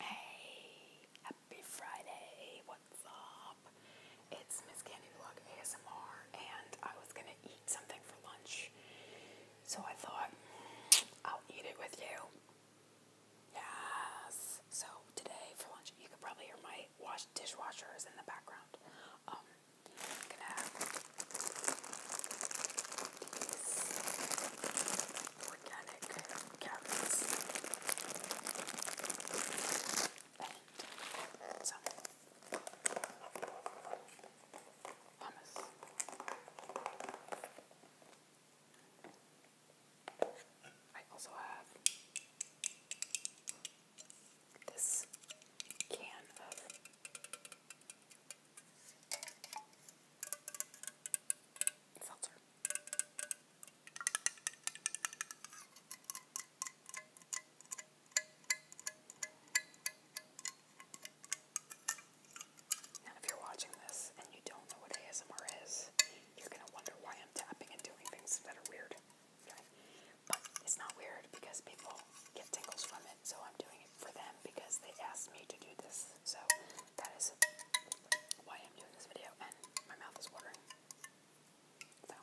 Hey, happy Friday, what's up? It's Miss Candy Vlog ASMR, and I was gonna eat something for lunch, so I thought I'll eat it with you. Yes! So, today for lunch, you could probably hear my dishwasher is in the background. Um, gonna have these organic organic I also have this can of seltzer. Now, if you're watching this and you don't know what ASMR is, you're going to wonder why I'm tapping and doing things that are weird. But it's not weird because people get tingles from it, so I'm doing it for them because they asked me to do this. So that is why I'm doing this video, and my mouth is watering. So.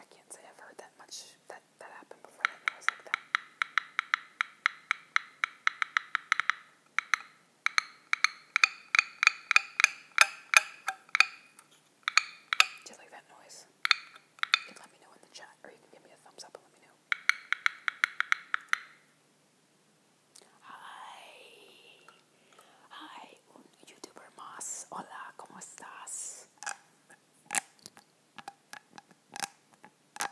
I can't say I've heard that much that Do you like that noise? You can let me know in the chat, or you can give me a thumbs up and let me know. Hi, hi, un youtuber más. Hola, cómo estás? I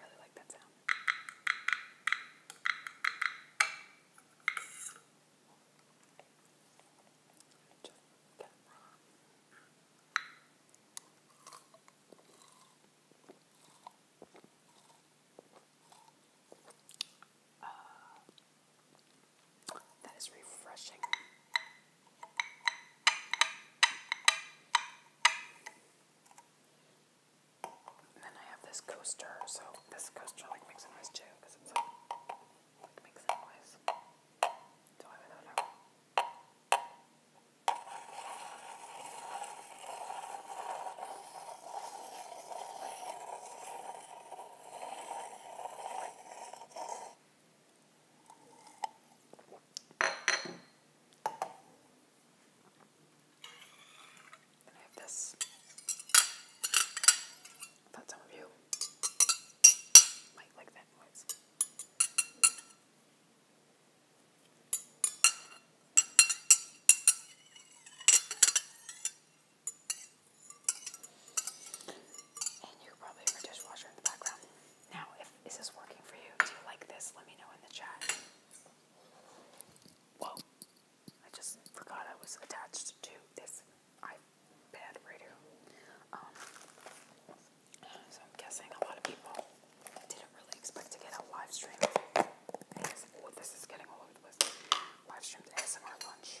really like that sound. Just uh, that is refreshing. then I have this coaster, so this coaster like makes noise too, because it's like, makes noise. So I do know. And I have this. I thought some of you might like that noise. And you probably have a dishwasher in the background. Now, if is this working for you? Do you like this? Let me know in the chat. Whoa. I just forgot I was attached to this iPad radio. So I'm guessing a lot of people didn't really expect to get a live stream. AS oh, this is getting all over the place. Live streamed ASMR lunch.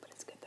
But it's good though.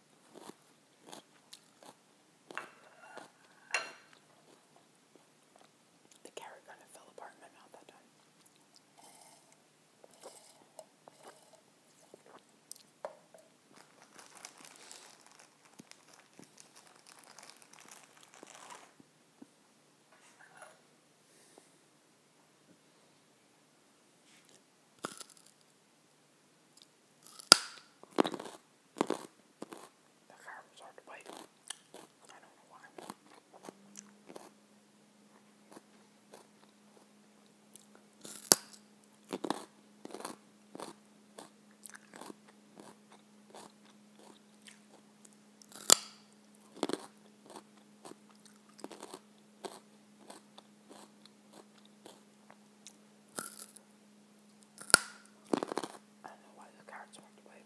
The carrot kind of fell apart in my mouth that time. The carbs hard to bite. I don't know why. I don't know why the carrots walked away.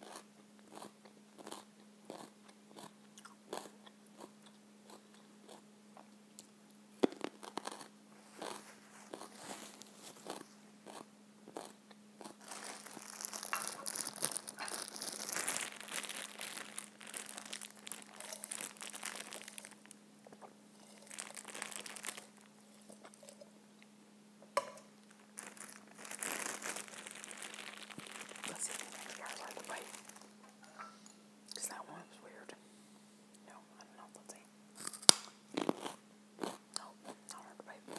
Let's see if these extra are the bite. Because that one was weird. No, I don't know. Let's see. No, not hard to bite.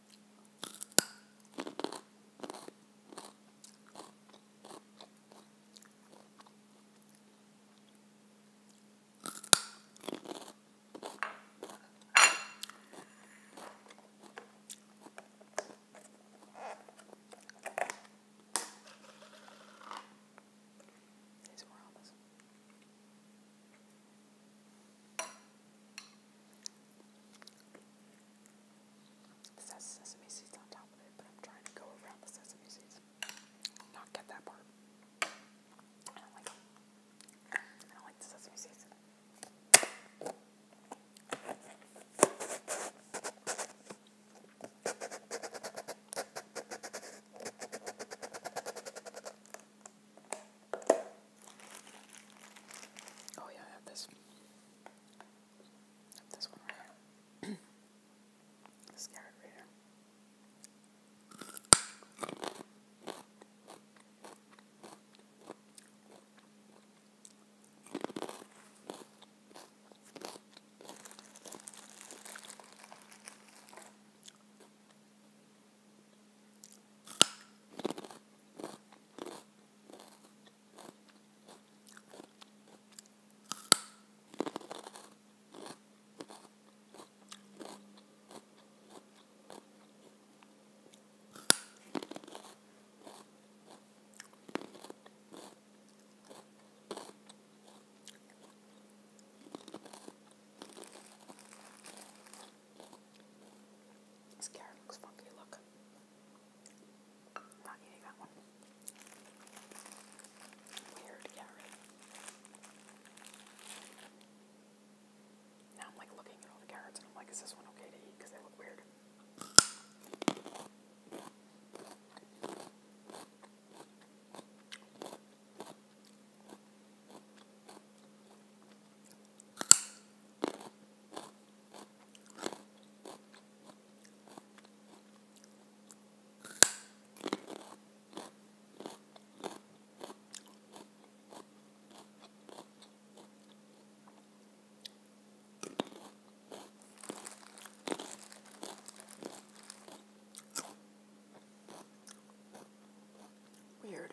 These ramen. It says sesame seeds on top of it, but I'm trying to go around the sesame seeds. Not get that part. I don't like I don't like the sesame seeds. Oh yeah, I have this. have this one right here. this carrot this carrot looks funky, look. Not eating that one. Weird carrot. Now I'm like looking at all the carrots and I'm like, is this one okay to eat? Because they look weird. Weird.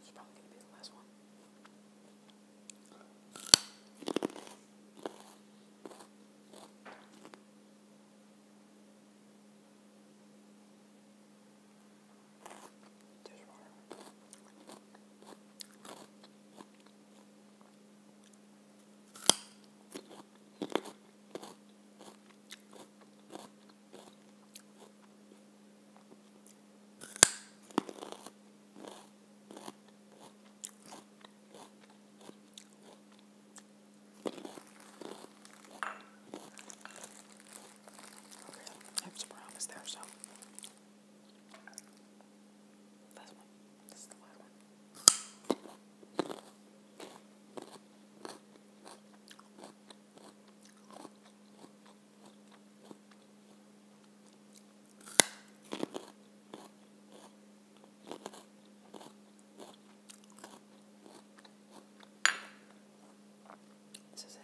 It's probably going to be the last one. Dishwater. Okay, I have some promise there, so Last one. This is the last one. This is it.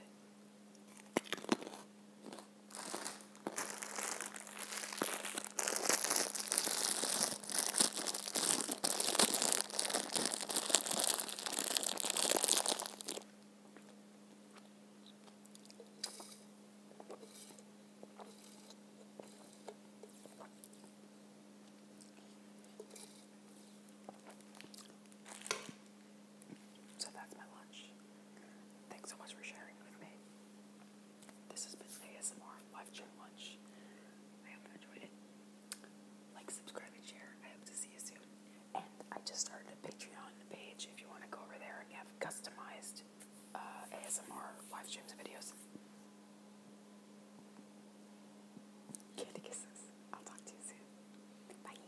So that's my lunch. Thanks so much for sharing with me. This has been ASMR Live Chat Lunch. I hope you enjoyed it. Like, subscribe, and share. I hope to see you soon. And I just started a Patreon page if you want to go over there and have customized uh, ASMR live streams and videos. Candy kisses. I'll talk to you soon. Bye.